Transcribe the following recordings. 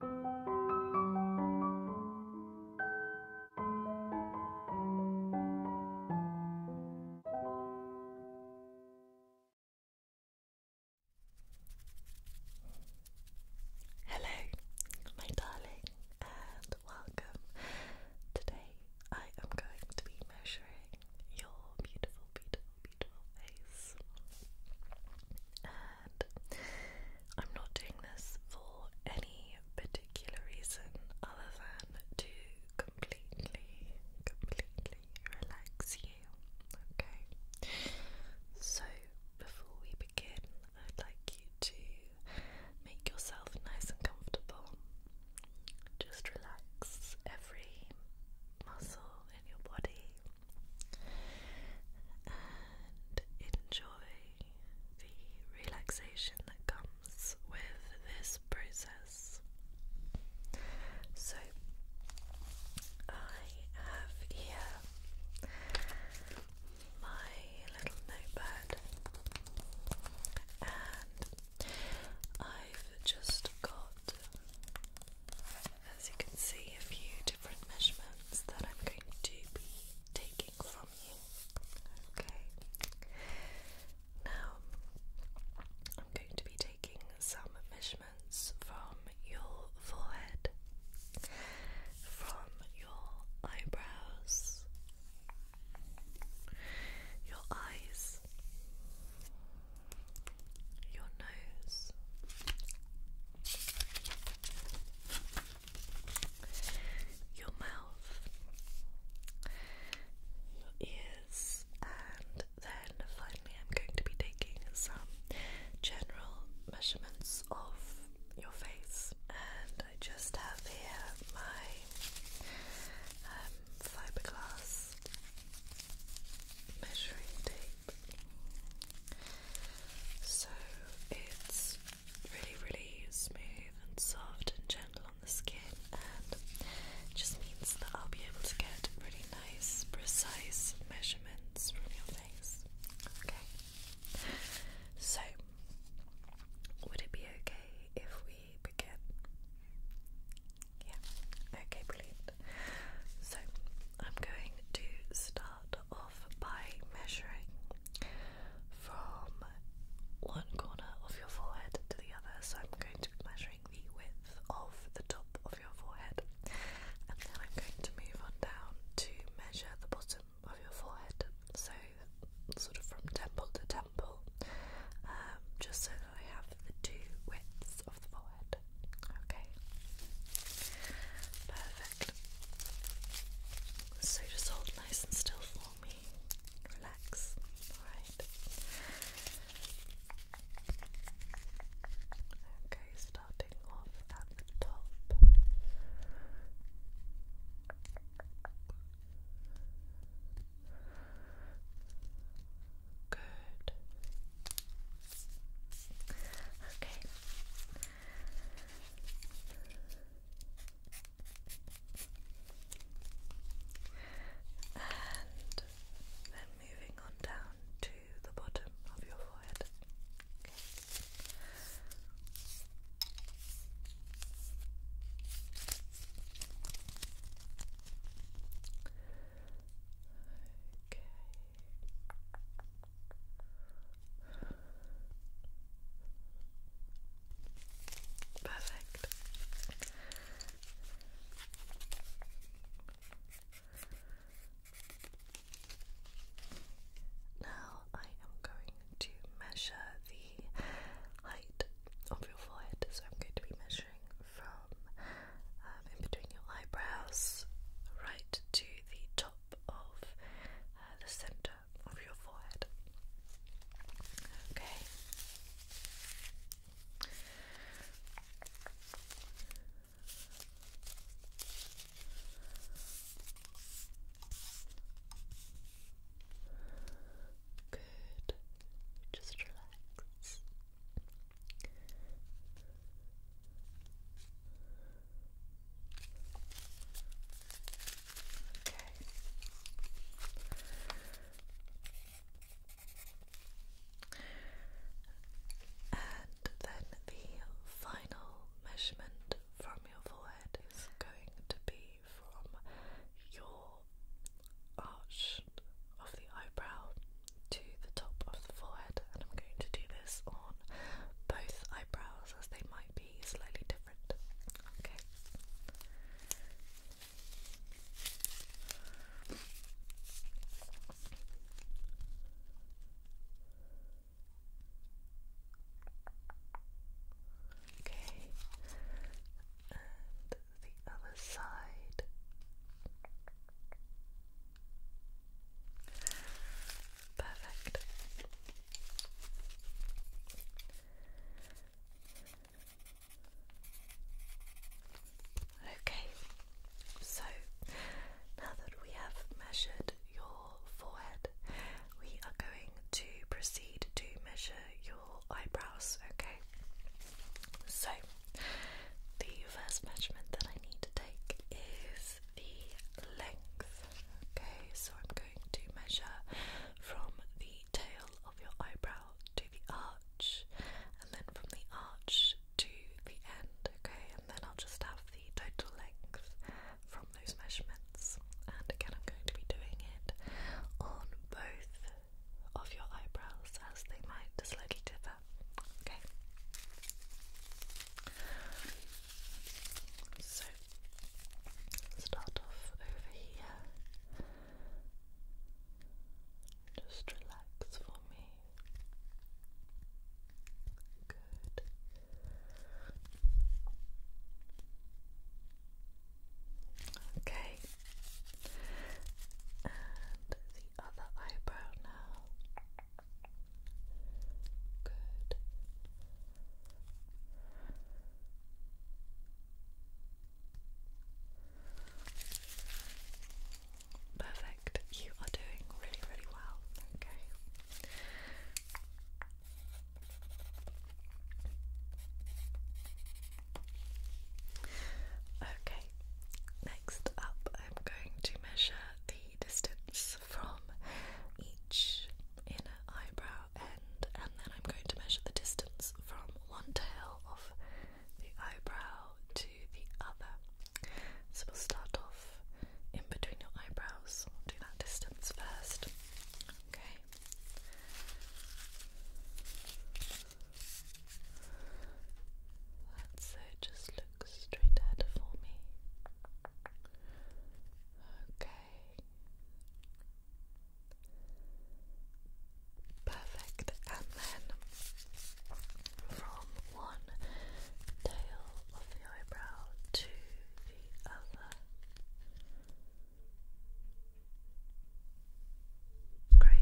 Hello, my darling, and welcome. Today I am going to be measuring your beautiful, beautiful, beautiful face. I'm not doing this for any particular reason other than to completely, completely relax you. Okay? So, before we begin, I'd like you to make yourself nice and comfortable. Just relax every muscle in your body and enjoy the relaxation that comes with this process. So, I have here my little notepad, and I've just got as you can see, a few different measurements that I'm going to be taking from you. Okay. Now, I'm going to be taking some measurements from your forehead, from your eyebrows, your eyes, your nose, your mouth, your ears, and then finally, I'm going to be taking some general measurements of your face. And I just have here my um, fiberglass measuring tape. So it's really, really smooth and soft and gentle on the skin, and just means that I'll be able to get really nice, precise measurements from your face. Okay. So, would it be okay if we begin? Yeah, okay, brilliant. So, I'm going to start off by measuring from one corner of your forehead to the other. So I'm going to be measuring the width of the top of your forehead, and then I'm going to move on down to measure the bottom of your forehead. So sort of from temple to temple, um, just so that I have the two widths of the forehead. Okay, perfect. So just hold nice and still for me. Relax. Alright. Okay, starting off at the top. Good. Okay. And then moving on down to the bottom of your forehead. Okay. Okay. Perfect. Now I am going to measure the height of your forehead, so I'm going to be measuring from um, in between your eyebrows right to the top of uh, the center of your forehead. Okay. Good. Just relax. Okay. And then the final measurement from your forehead is going to be from your arch of the eyebrow the top of the forehead, and I'm going to do this on both eyebrows as they might be slightly different. Okay. Okay, and the other side. Perfect. Okay, so now that we have measured your forehead, we are going to proceed to measure your eyebrows, okay? So, the first measurement that I need to take is the length. Okay, so I'm going to measure from the tail of your eyebrow to the arch, and then from the arch to the end. Okay, and then I'll just have the total length from those measurements. And again, I'm going to be doing it on both of your eyebrows as they might slightly differ that. Okay. So start off over here. Just relax for me. Good. Okay. And the other eyebrow now. Good. Perfect. You are doing really, really well. Okay. Okay, next up, I'm going to measure the distance from each inner eyebrow end, and then I'm going to measure the distance from one tail of the eyebrow to the other. So we'll start off in between your eyebrows, we that distance first. Okay. Let's so just straight ahead for me. Okay. Perfect. And then from one tail of the eyebrow to the other. Great.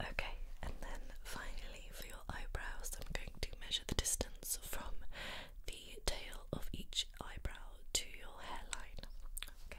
Okay, and then finally for your eyebrows, I'm going to measure the distance from the tail of each eyebrow to your hairline. Okay.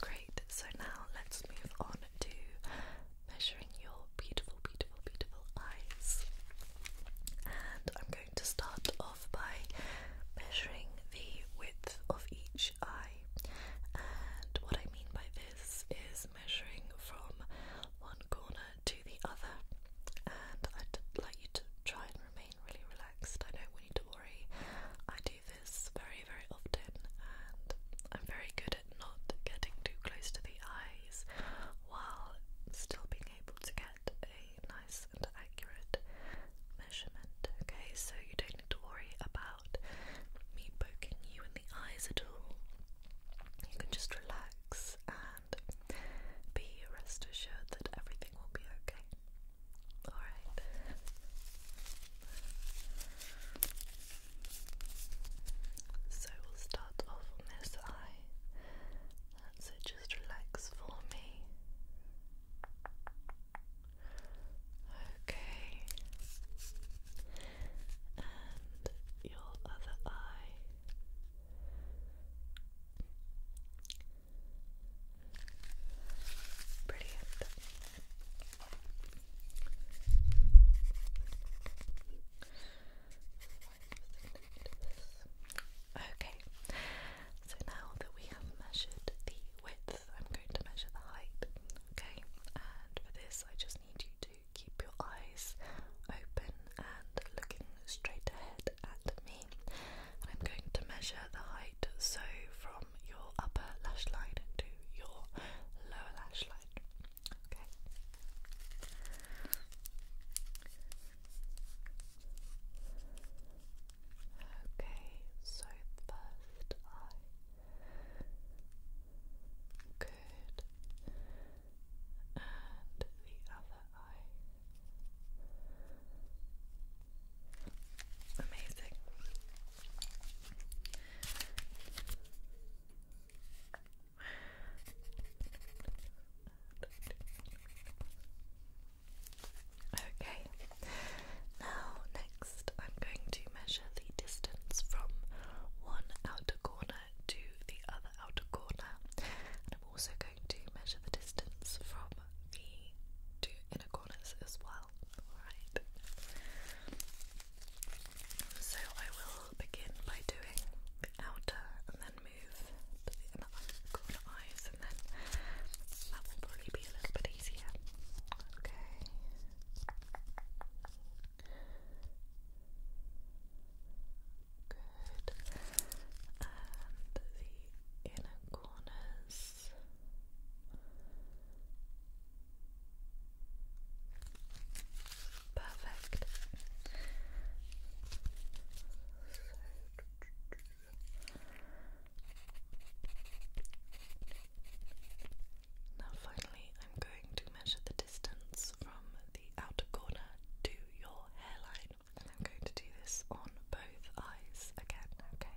Great, so now let's move on to measuring your beautiful, beautiful, beautiful eyes. And I'm going to start off by measuring the width of each eye. And what I mean by this is measuring from one corner to the other. And I'd like you to try and remain really relaxed. I don't want you to worry. I do this very, very often, and I'm very good at not getting too close to the eyes while still being able to get a nice and accurate measurement. Okay, so you don't need to worry about me poking you in the eyes at all. You can just relax and be rest assured that everything will be okay. Alright. So we'll start off on this eye. That's it, just relax for me. Okay. And your other eye. Okay, so now that we have measured the width, I'm going to measure the height. Okay, and for this, I just need you to keep your eyes open and looking straight ahead at me. And I'm going to measure the height, so from your upper lash line to your lower lash line. Okay. Okay, so first I good and the other eye Amazing. Okay, now next I'm going to measure the distance from one outer corner to the other outer corner, and I'm also going to measure the distance from the two inner corners as well. Alright. So I will begin by doing the outer and then move to the inner corner eyes and then that will probably be a little bit easier. Okay. Good. And the inner corners this. Perfect. Now, finally, I'm going to measure the distance from the outer corner to your hairline, and I'm going to do this on both eyes again, okay?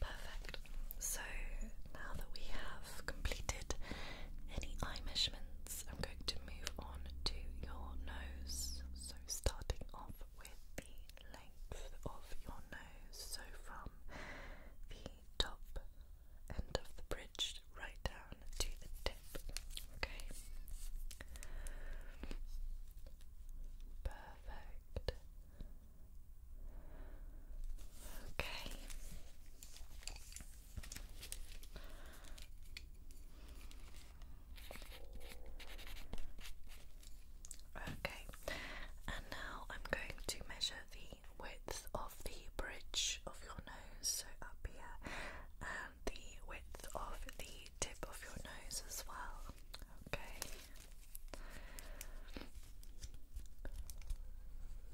Perfect. So now that we have completed any eye measurements, I'm going to move on to your nose. So starting off with the length of your nose, so from the top end of the bridge right down down to the tip. Okay. Perfect. Okay. Okay, and now I'm going to measure the width of the bridge of your nose, so up here, and the width of the tip of your nose as well. Okay.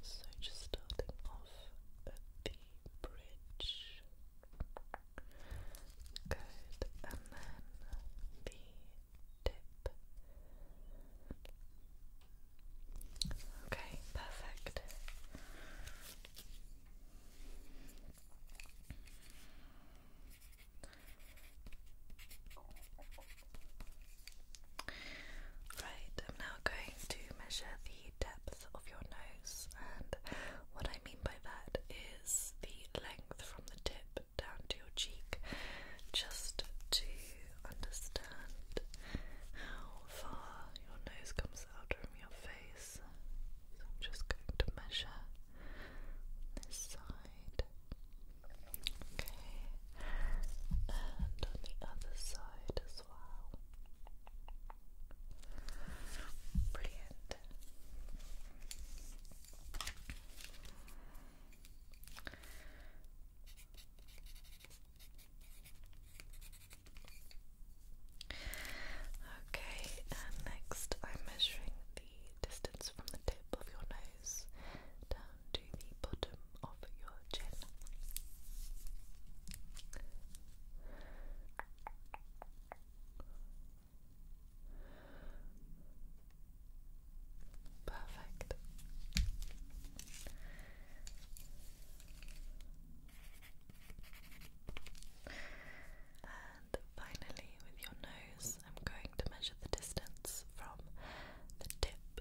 So just starting off at the bridge. Good. And then the tip. Okay, perfect. Right, I'm now going to measure the depth of your nose, and what I mean by that is the length from the tip down to your cheek, just to understand how far your nose comes out from your face face. So I'm just going to measure this side. Okay. And on the other side as well. Brilliant. Okay, next I'm measuring the distance from the tip of your nose down to the bottom of your chin. Perfect. And finally, with your nose, I'm going to measure the distance from the tip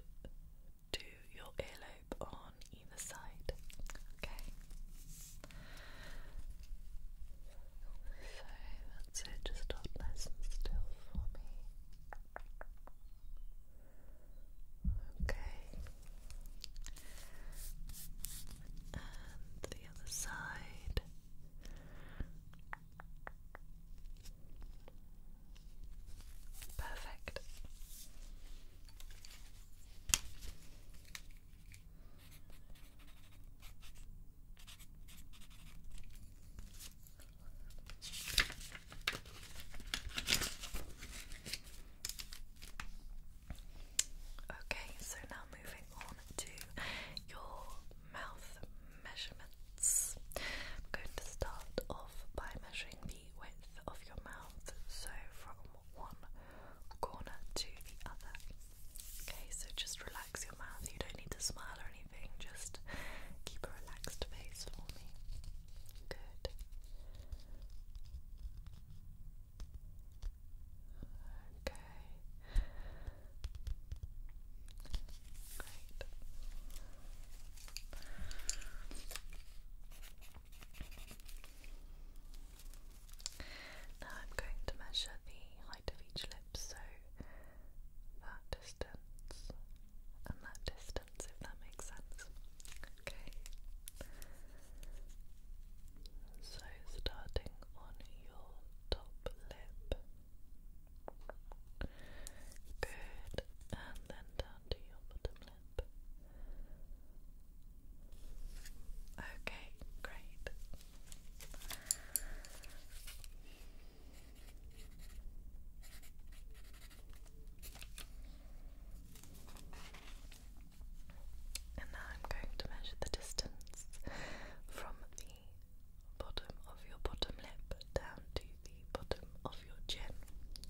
to your earlobe on either side. Okay. So just hold nice and still for me. Okay. And the other side. Perfect. Okay, so now moving on to your mouth measurements. I'm going to start off by measuring the width of your mouth, so from one corner to the other. Okay, so just relax your mouth. You don't need to smile or anything, just keep a relaxed face for me. Good. Okay. Great. Now I'm going to measure the height of each lip, so that distance and that distance, if that makes sense. Okay. So, starting on your top lip, good, and then down to your bottom lip. Okay, great. And now I'm going to measure the distance from the bottom of your bottom lip down to the bottom of your chin.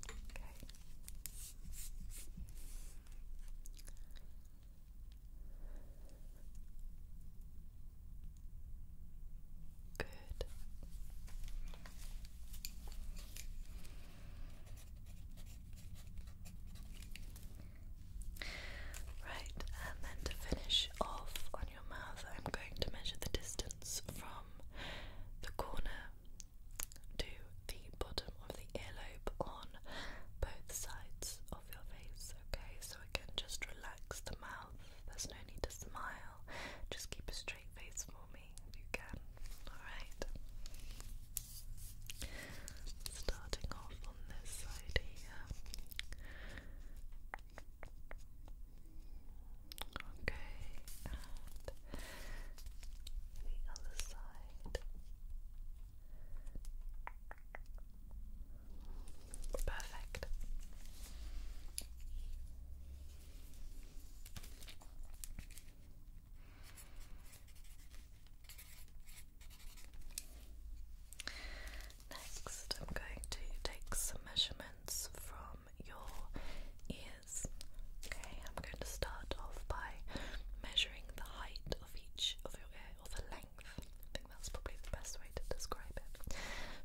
Okay. Good. Right, and then to finish off on your mouth, I'm going to measure the distance from the corner to the bottom of the earlobe on both sides of your face, okay? So again, just relax the mouth. There's no need to smile. Just keep a straight face for me if you can. Alright. Starting off on this side here. Okay, the other side. Perfect. Next, I'm going to take some measurements from your ears. Okay, I'm going to start off by measuring the height of each of your ear, or the length. I think that's probably the best way to describe it.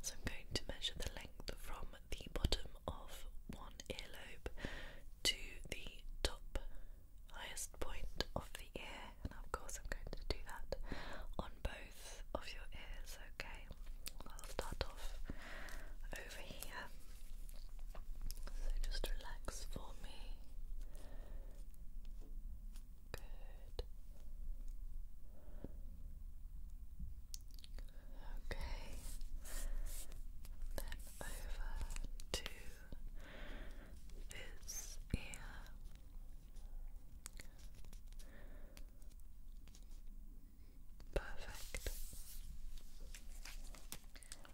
So, I'm going to measure the length from the bottom of one earlobe to the top highest point of the ear, and of course, I'm going to do that on both of your ears, okay? I'll start off over here. So just relax for me. Good. Okay. Then over to this ear. Perfect.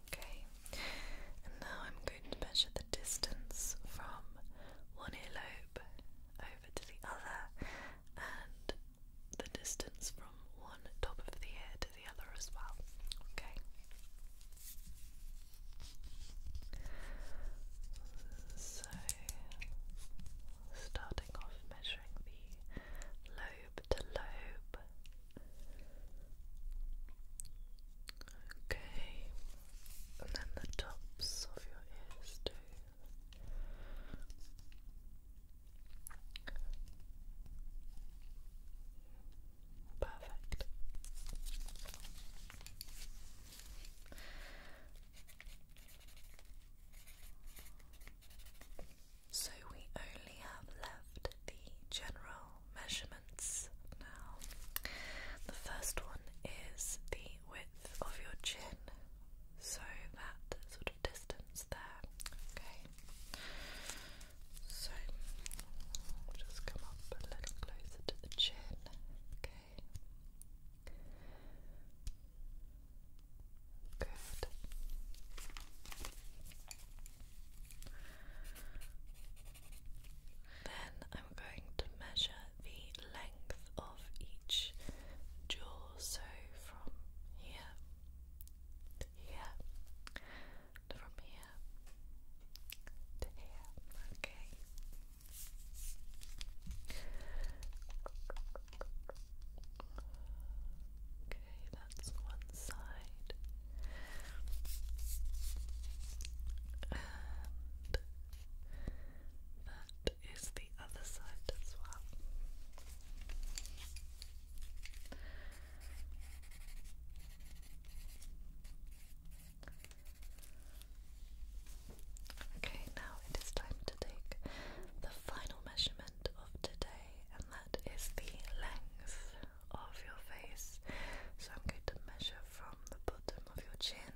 Okay, and now I'm going to measure the distance from one earlobe over to the other and the distance from one top of the head the other as well. Okay. So, starting off measuring the lobe to lobe. Okay, and then the tops of your ears too. Perfect. So we only have left the general measurements now. The first one is the width of your chin, so that sort of distance there. Okay. So just come up a little closer to the chin, okay? Good. Then I'm going to measure the length of each jaw, so from here here, from here to here, okay? Okay, that's one side. And that is the other side as well. Okay, now it is time to take the final measurement of today, and that is the length of your face. So I'm going to measure from the bottom of your chin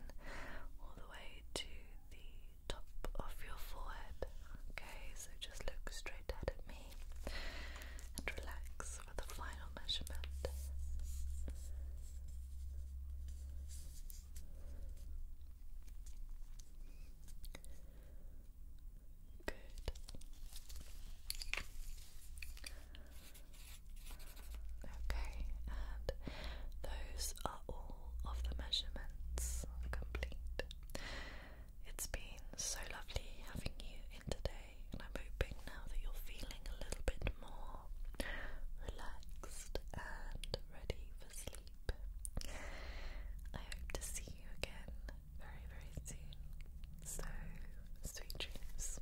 all the way to the top of your forehead. Okay, so just look straight ahead at me and relax for the final measurement. Good. Okay, and those are all of the measurements complete. It's been so lovely having you in today and I'm hoping now that you're feeling a little bit more relaxed and ready for sleep. I hope to see you again very, very soon. So, sweet dreams.